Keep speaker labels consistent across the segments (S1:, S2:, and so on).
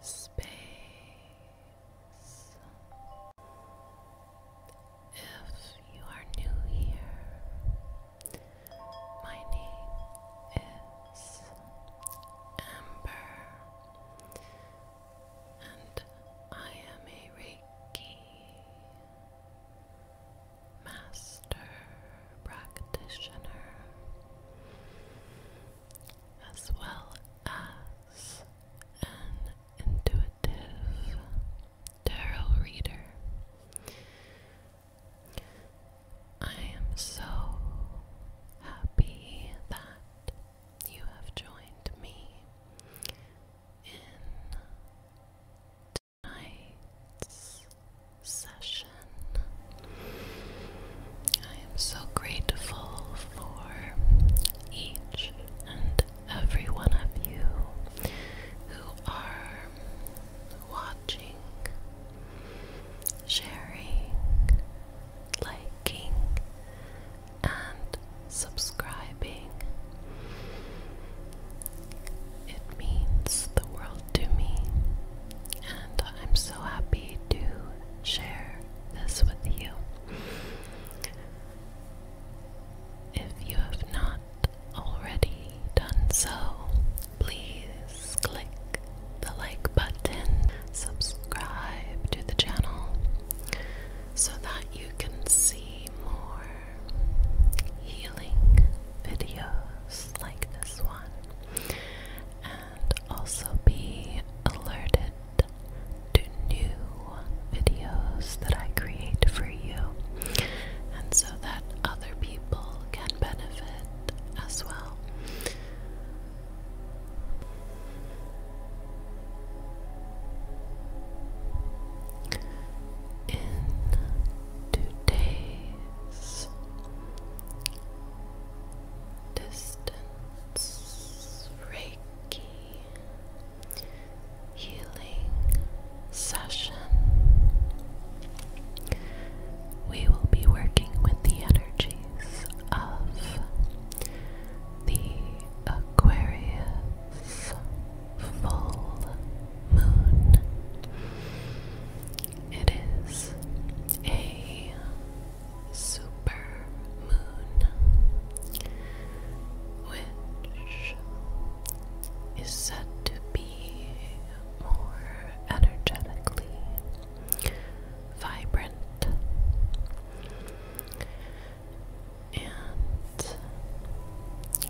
S1: space. If you are new here, my name is Amber, and I am a Reiki master master practitioner, as well as an intuitive tarot reader. I am so happy that you have joined me in tonight's session. I am so grateful for each and every one of you who are watching, sharing, liking, and subscribing. It means the world to me and I'm so happy to share this with you. If you have not already done so, please click the like button, subscribe to the channel so that you can see more healing videos like this one and also be alerted to new videos that I create for you, and so that other people can benefit as well. In today's distance, Reiki, healing session. We will be working with the energies of the Aquarius full moon it is a super moon which is said to be more energetically vibrant and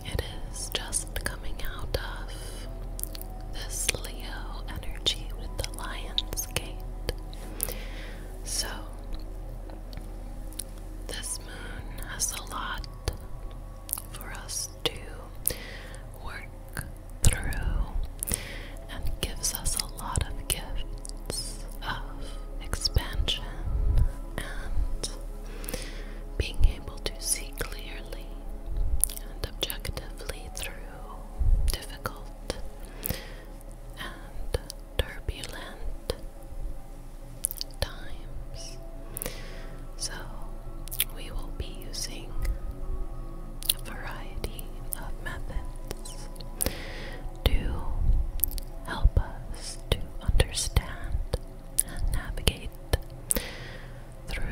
S1: it is just coming out of this Leo energy with the Lion's Gate. So, this moon has a lot for us to work through and gives us a lot of gifts of expansion and being able to see clearly and objectively through difficult and turbulent times. So, we will be using a variety of methods to help us to understand and navigate through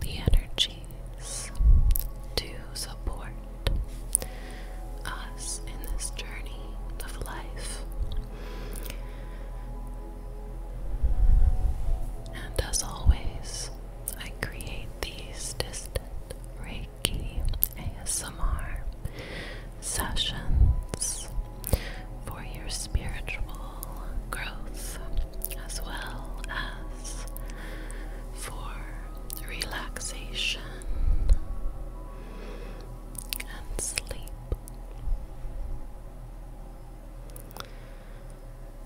S1: the energies to support us in this journey of life and as always I create these distant Reiki ASMR sessions for your spiritual growth as well as for relaxation and sleep.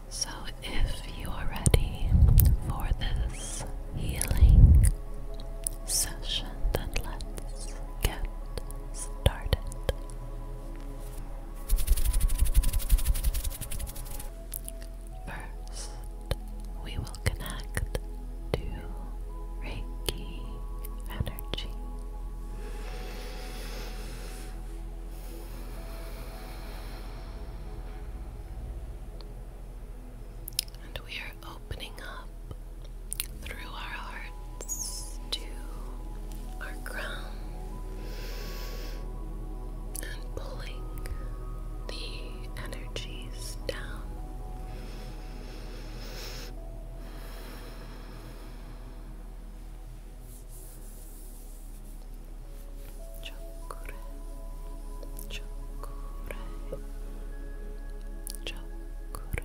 S1: So, if you are ready for this healing session, then let's get started. First, we will connect to Reiki energy. And we are opening up through our hearts to our ground and pulling the energies down. Chakura, chakura, chakura.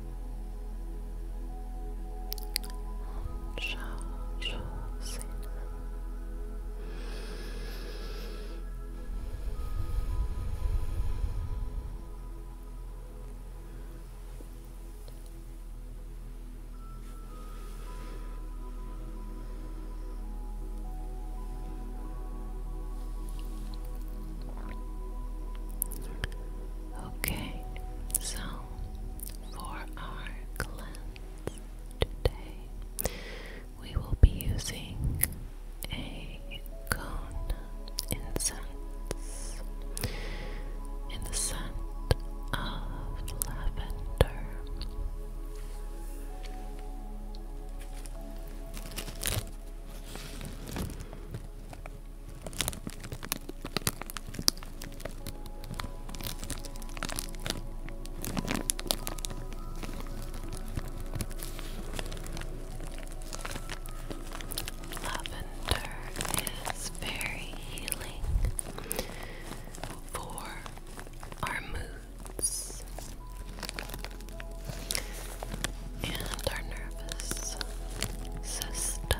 S1: Ciao, ciao, Okay, so for our cleanse today, we will be using a cone incense in of lavender. Lavender is very healing for our moods and our nervous system.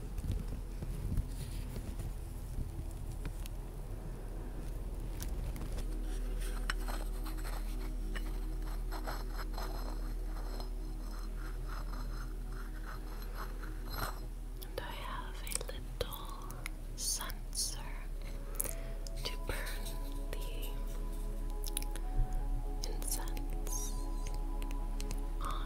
S1: And I have a little sensor to burn the incense on.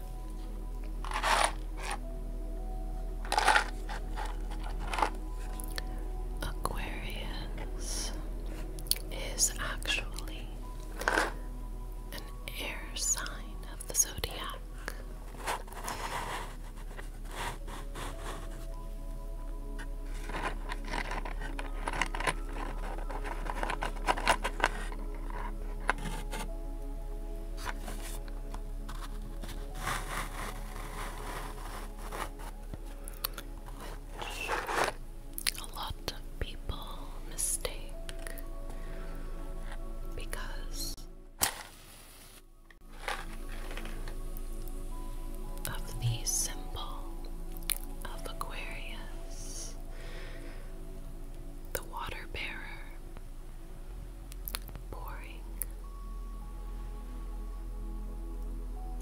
S1: Aquarius is actually an air sign of the zodiac a lot of people mistake because of the symbol of Aquarius, the water bearer boring,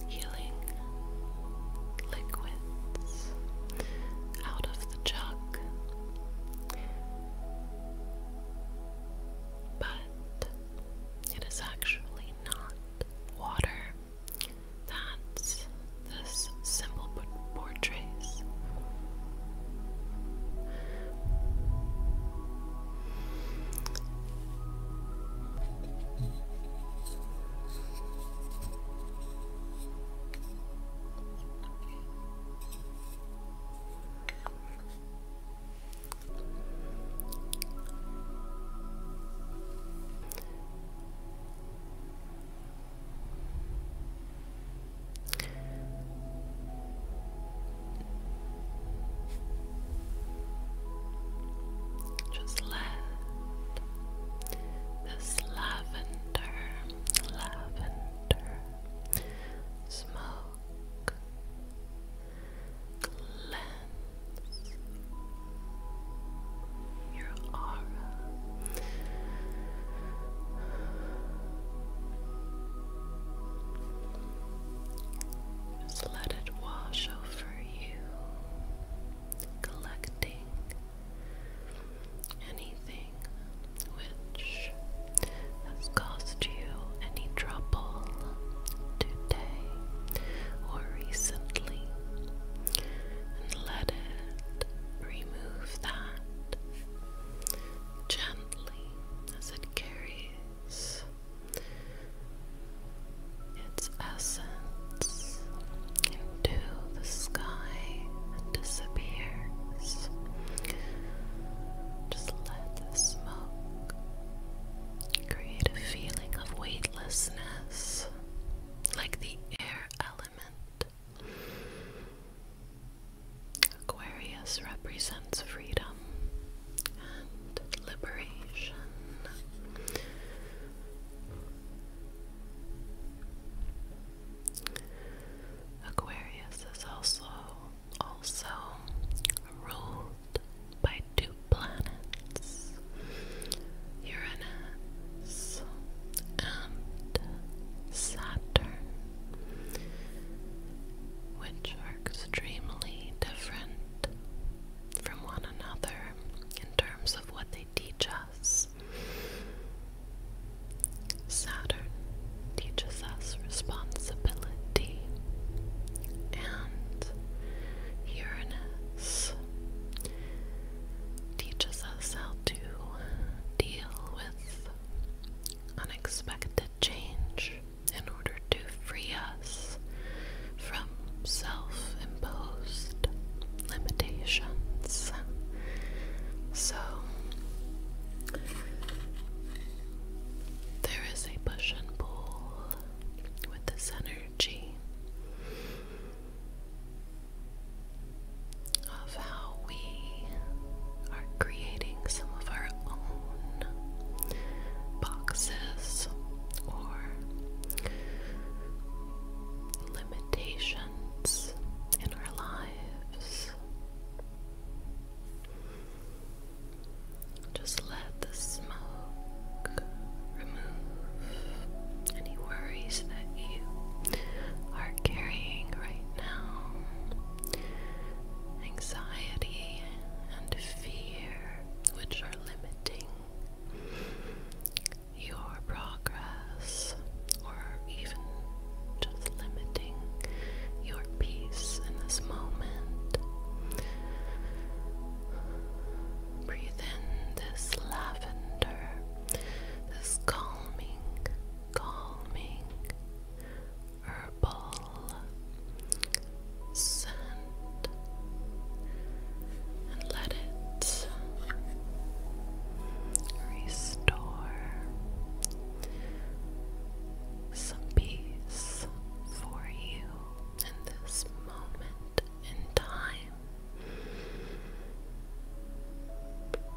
S1: healing liquids out of the jug, but it is actually not water. That's this simple but fortress. Just let this lavender, lavender smoke cleanse your aura. Just let it wash over you, collecting anything which has caused you any trouble today or recently, and let it remove that gently as it carries its essence into the sky and disappears. Just let the smoke create a feeling of weightlessness, like the air element. Aquarius represents freedom and liberation. Aquarius is also also ruled by two planets, Uranus and Saturn which are extremely different from one another in terms of what they teach us. Saturn teaches us responsibility, and Uranus teaches us how to deal with unexpected change in order to free us from self imposed limitations. So, there is a push and pull with this energy how we are creating some of our own boxes or limitations in our lives. Just let the smoke remove any worries that you are carrying right now anxiety, and fear, which are limiting your progress or even just limiting your peace in this moment. Breathe in this lavender, this calming, calming, herbal scent and let it restore some peace for you in this moment in time.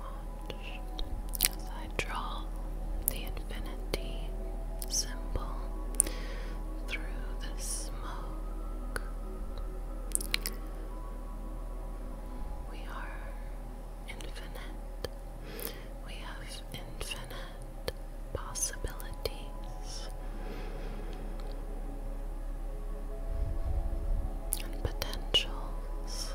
S1: Watch as I draw the infinity divinity symbol through the smoke. We are infinite. We have infinite possibilities and potentials.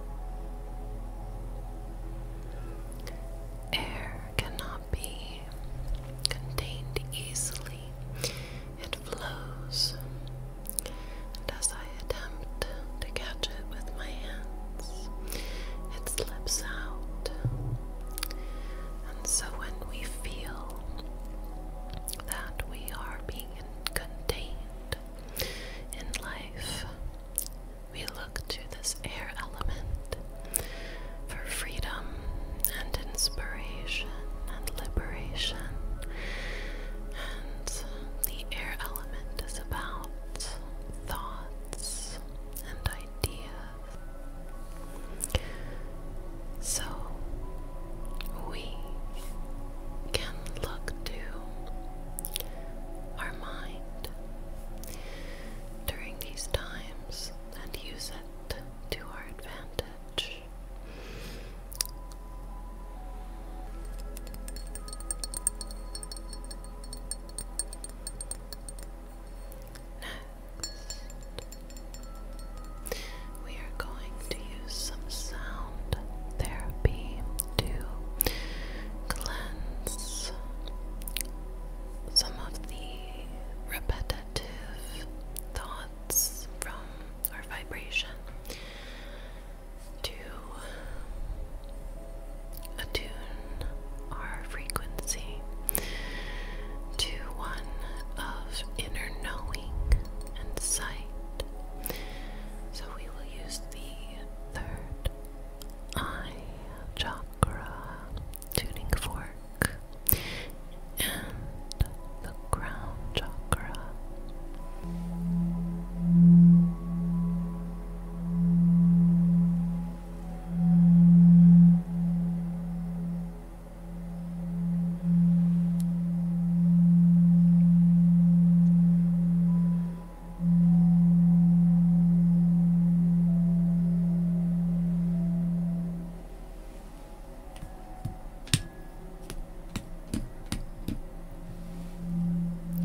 S1: Air cannot be contained easily. It flows, and as I attempt to catch it with my hands, it slips out. And so when we feel that we are being contained in life, we look to this air element for freedom and inspiration and liberation. And the air element is about thoughts and ideas. So we can look to our mind during these times and use it to our advantage. Next, we are going to some sound therapy to cleanse some of the repetitive thoughts from our vibration to attune our frequency to one of inner knowing and sight. So we will use the third eye chakra, tuning fork, and the crown chakra.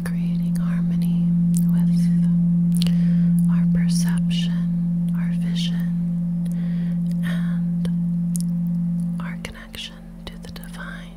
S1: Creating harmony with our perception, our vision, and our connection to the divine.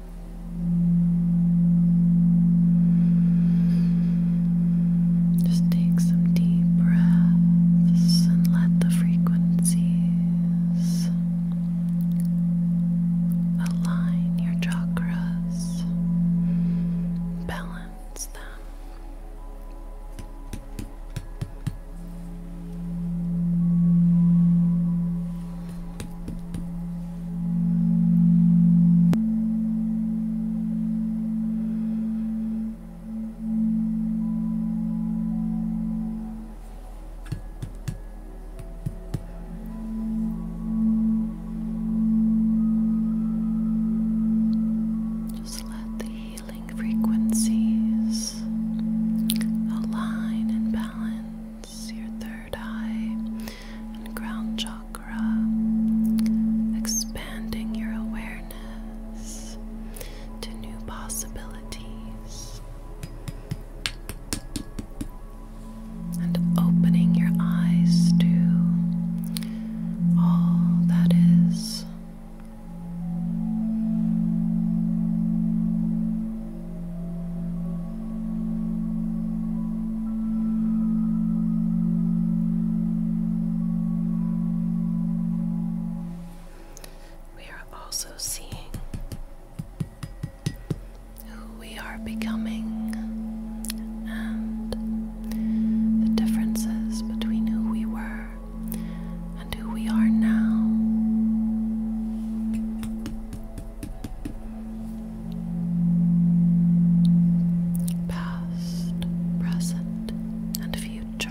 S1: Just take some deep breaths and let the frequencies align your chakras, balance them. Just let the healing frequencies align and balance your third third and ground chakra, expanding your awareness to new possibilities and opening your eyes to all that is. We are also seeing who we are becoming and the differences between who we were and who we are now past, present, and future.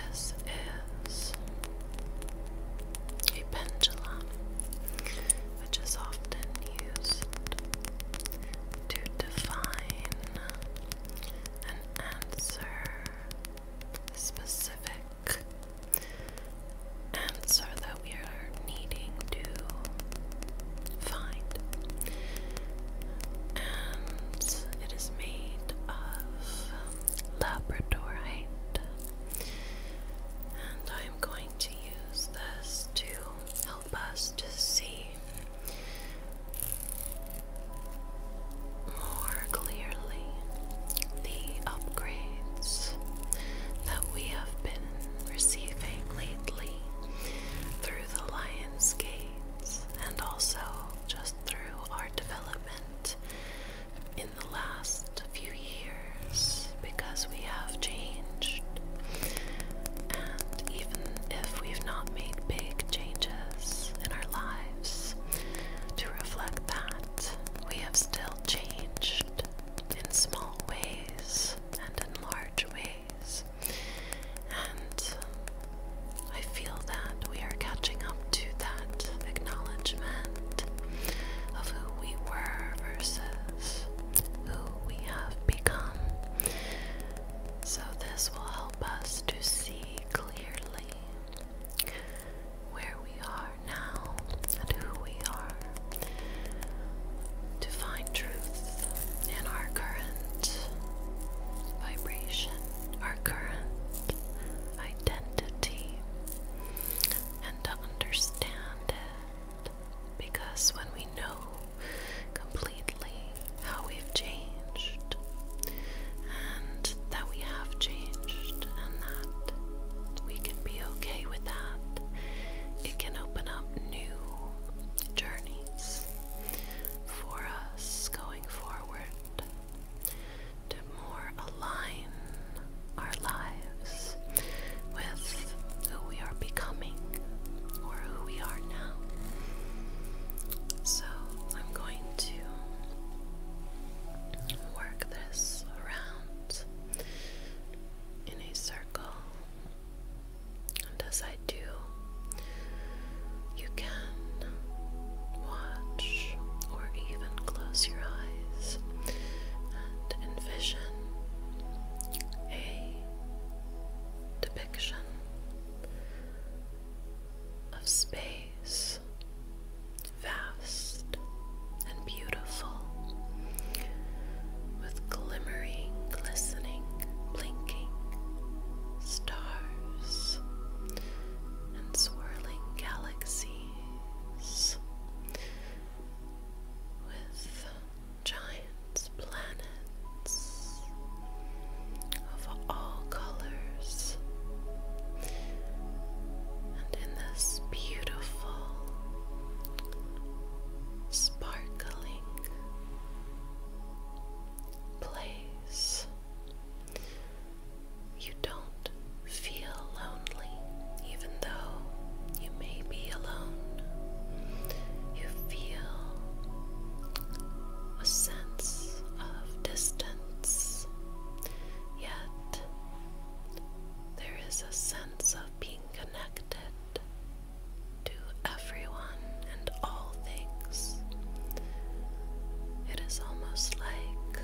S1: This is a pendulum which is often used to define an answer, specific answer that we are needing to find. And it is made of labradorite. And I'm going to use this to help us to see more clearly the upgrades that we have been receiving lately through the Lion's Gates and also just through our development in the last few years because we have changed. And even if we've not made big changes in our lives to reflect that, we have still changed in small ways and in large ways. And I feel that we are catching up to that acknowledgement of who we were versus who we have become. So, this will help us to see clearly where we are now and who we are, to find truth in our current vibration, our current identity, and to understand it because when we know completely how we've changed and that we have changed and that we can be okay with that, it can open up new journeys for us going forward to more align our lives with who we are becoming or who we are now. So I'm going to work this around in a circle. And as I do, you can watch or even close your eyes and envision a depiction of space, vast and beautiful, with glimmering, glistening, blinking stars and swirling galaxies. With giant planets of all colors. And in this beautiful, sparkling place, you don't feel lonely even though you may be alone, you feel a sense of distance, yet there is a sense of being connected to everyone and all things. It is almost like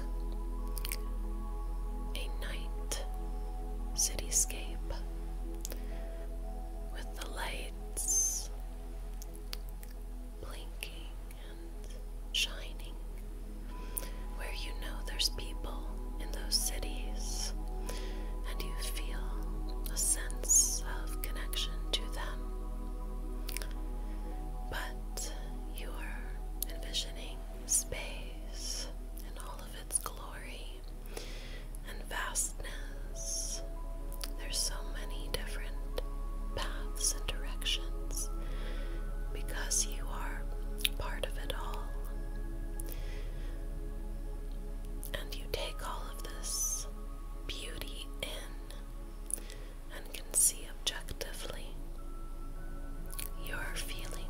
S1: a night cityscape with the lights blinking and shining, where you know there's people in those cities and you feel a sense of connection to them. But you are envisioning space and all of it its glory and vastness. There's so many different paths and directions because you are part of it all. And you take all of this beauty in and can see objectively your feelings.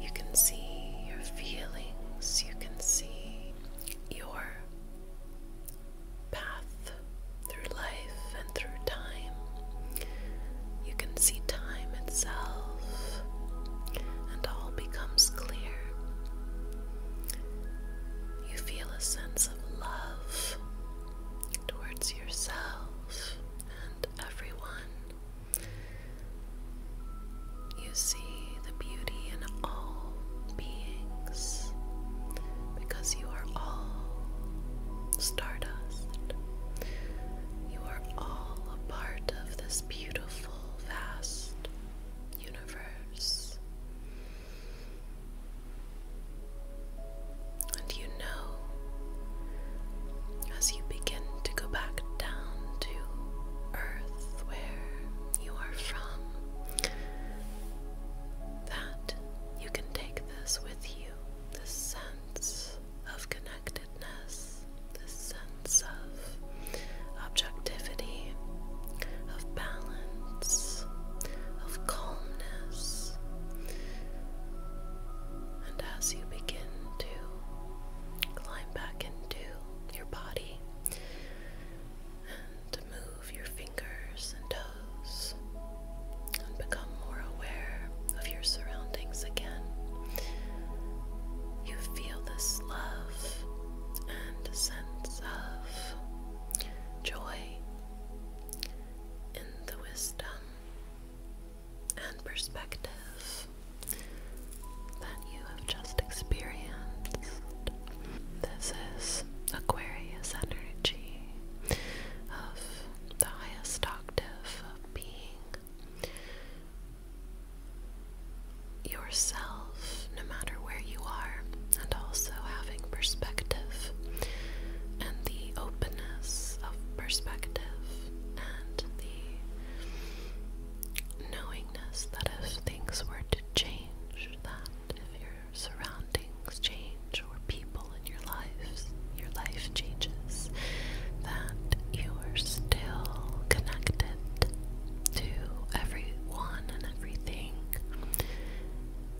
S1: You can see your feelings, you can see your path through life and through time. You can see time itself, and all becomes clear. You feel a sense of love towards yourself and everyone. You see the beauty in all beings because you are all stardust. You are all a part of this beautiful, vast universe. And you know, as you begin to go back down to earth where you are from, that you can take this with you this sense of connectedness, this sense of objectivity, of balance, of calmness. And as you begin to climb back into your body and to move your fingers and toes and become more aware of your surroundings again, you feel this love and sense of joy in the wisdom and perspective that you have just experienced. This is Aquarius energy of the highest octave of being yourself, no matter where you are, and also having perspective and the the openness of perspective and the knowingness that if things were to change, that if your surroundings change or people in your lives, your life changes, that you are still connected to everyone and everything,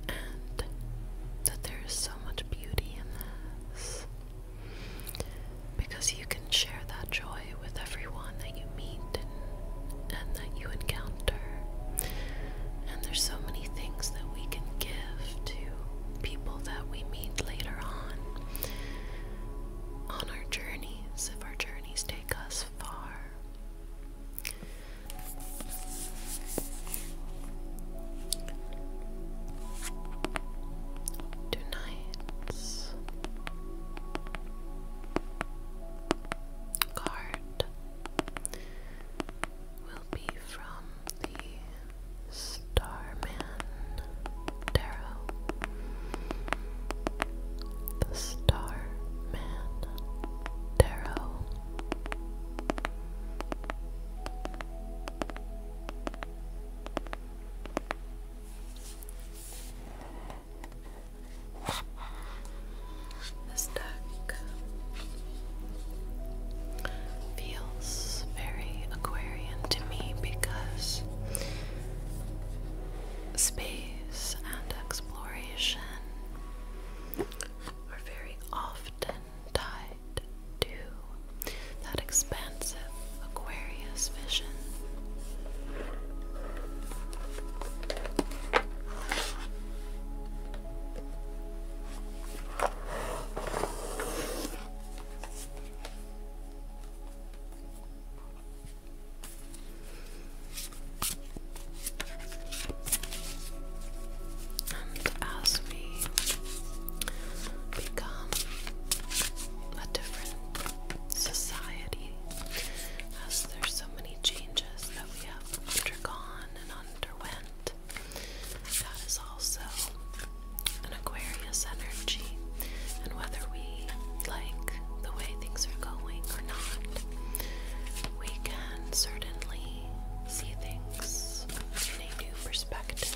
S1: and that there is so much beauty in this because you can share that joy with everyone that you meet and that you encounter. And there's so many things that we can give to people that we meet later on on our journeys if our journeys take us far. Two Card will be from the Starman Tarot. The Starman Tarot. This deck feels very Aquarian to me because space and exploration are very often tied to that expansive Aquarius vision as we become a different society, as there's so many changes that we have undergone and underwent, that is also an Aquarius energy. And whether we like the way things are going or not, we can certainly see things from a new perspective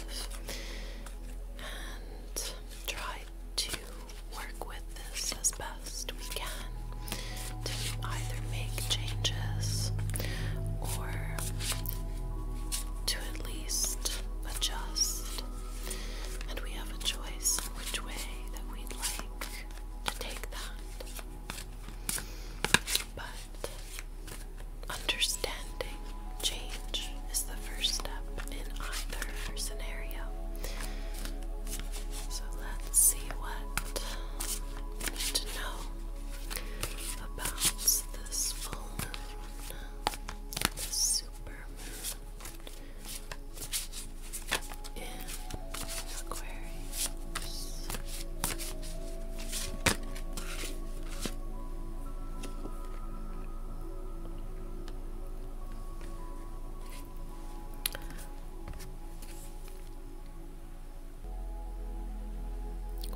S1: and try to work with this as best we can to either make changes or to at least adjust. And we have a choice which way that we'd like to take that. But understanding change is the first step in either scenario. So let's see what we need to know about this full moon, this super moon in Aquarius.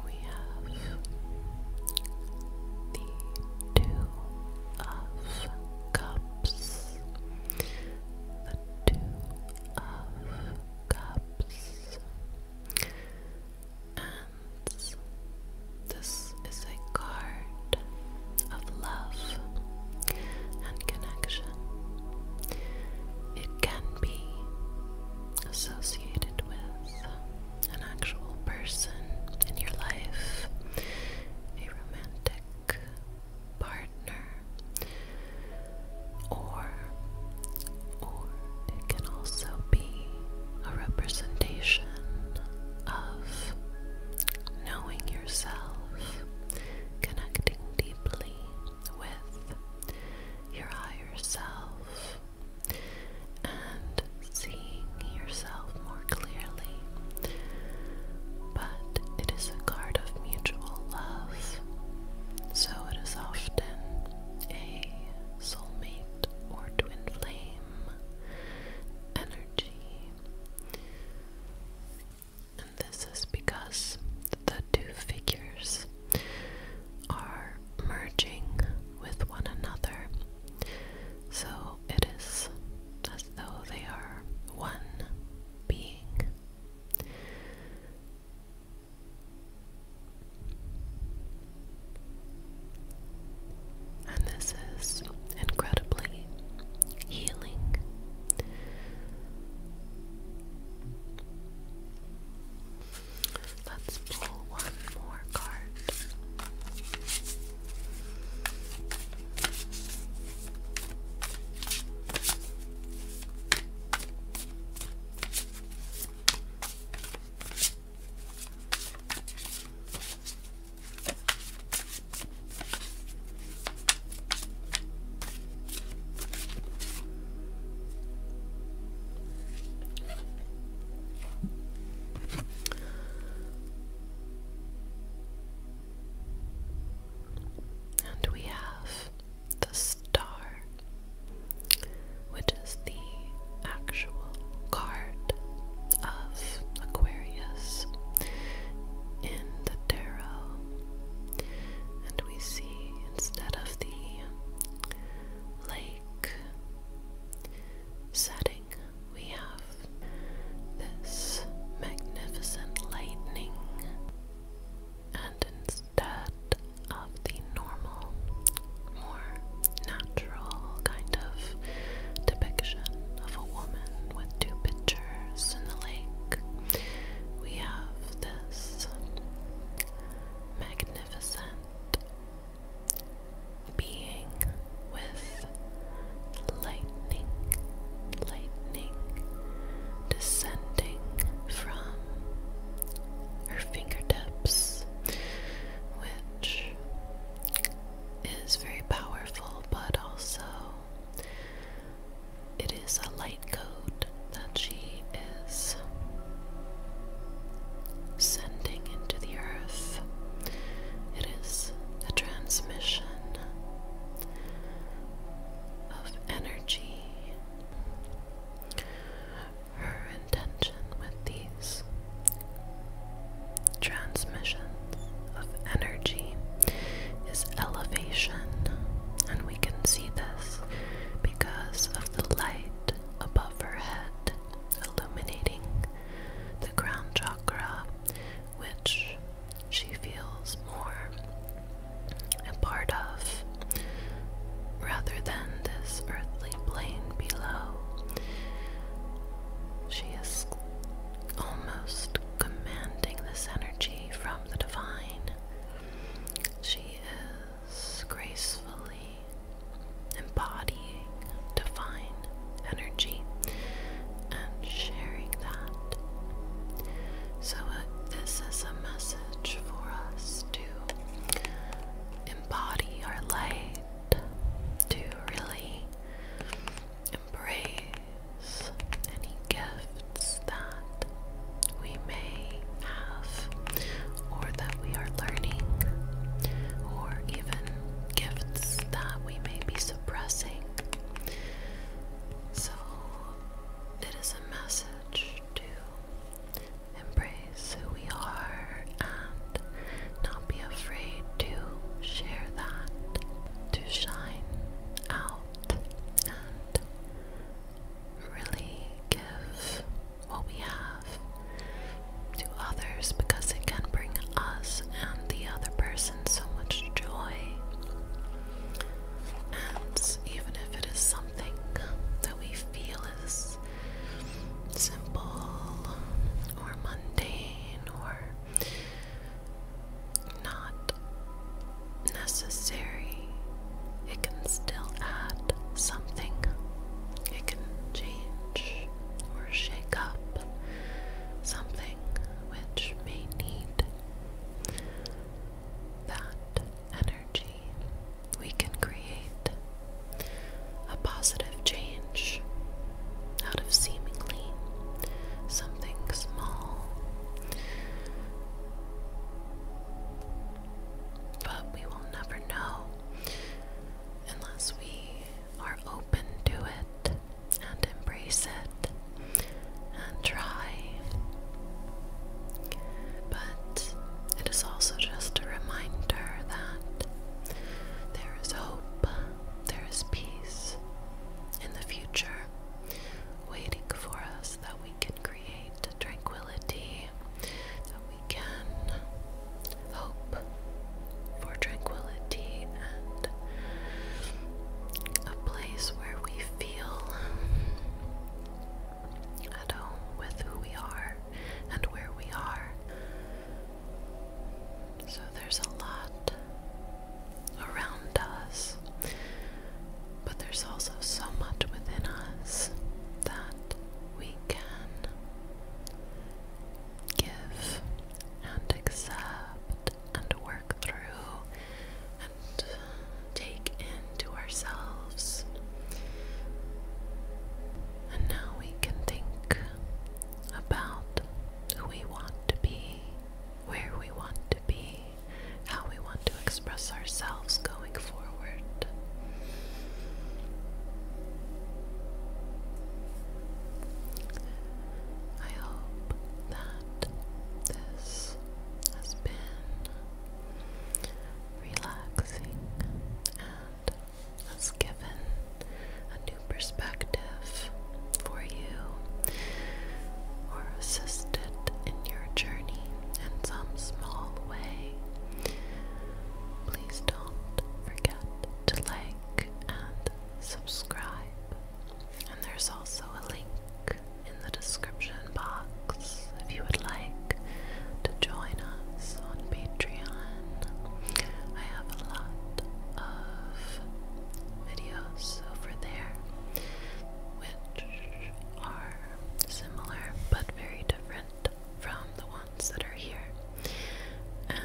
S1: We have the two of cups, the two of cups. And this is a card of love and connection. It can be associated with an actual person in your life, a romantic partner, or or it can also be a representation of knowing yourself, connecting deeply with your higher self, and seeing yourself more clearly. But it is a card of mutual love, so it is often a soulmate element or twin flame energy. And this is because the two figures are merging with one another. So it is as though they are one being. And this is incredibly healing. Let's pull one more card. And we have the star which is the actual card of Aquarius in the tarot. And we see instead of the lake setting, we have this magnificent lightning, and instead of the normal, more natural kind of depiction of a woman with two pictures in the lake, we have this magnificent being with lightning, lightning descending from her fingertips with which is very powerful, but also it is a light code that she is sending into the earth. It is a transmission of energy her intention with these transmissions of energy is elevation, and we can see this because of the light above her head illuminating the crown chakra, which she feels more a part of rather than this earthly plain below. She is almost commanding this energy from the divine. She is gracefully embodying divine energy and sharing that. So, uh, this is a message for us to embody our light to really embrace any gifts that we may have or that we are learning or even gifts that we may be suppressing. So it is a message to embrace who we are and not be afraid to share that, to shine out and really give what we have to others because it can bring us and the other person so much joy. And even if it is something that we feel is simple or mundane or not necessary, it can still add something. It can change or shake up something which may need that energy we can create a positive change out of seemingly something small. But we will never know unless we are open to it and embrace it and try. But it is also just a reminder that there is hope, there is peace in the future waiting for us that we can create tranquility, that we can hope for tranquility and a place where we feel at home with who we are and where we are. So there's a lot around us, but there's also so much within us that we can give and accept and work through and take into ourselves. And now we can think about who we want to be, where we want to be, how we want to express ourselves going forward. I hope that this has been relaxing has given a new perspective for you or assisted in your journey in some small way. Please don't forget to like and subscribe. And there's also a link in the description box if you would like to join us on Patreon. I have a lot of videos over there which are similar but very different from the ones that are here. And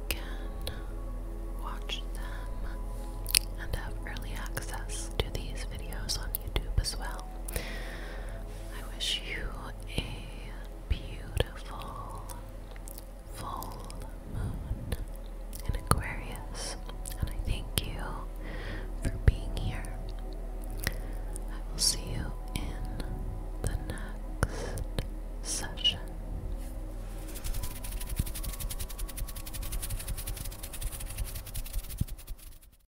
S1: you can watch them and have early access to these videos on YouTube as well. I wish you a beautiful full moon in Aquarius, and I thank you for being here. I will see you in the next session.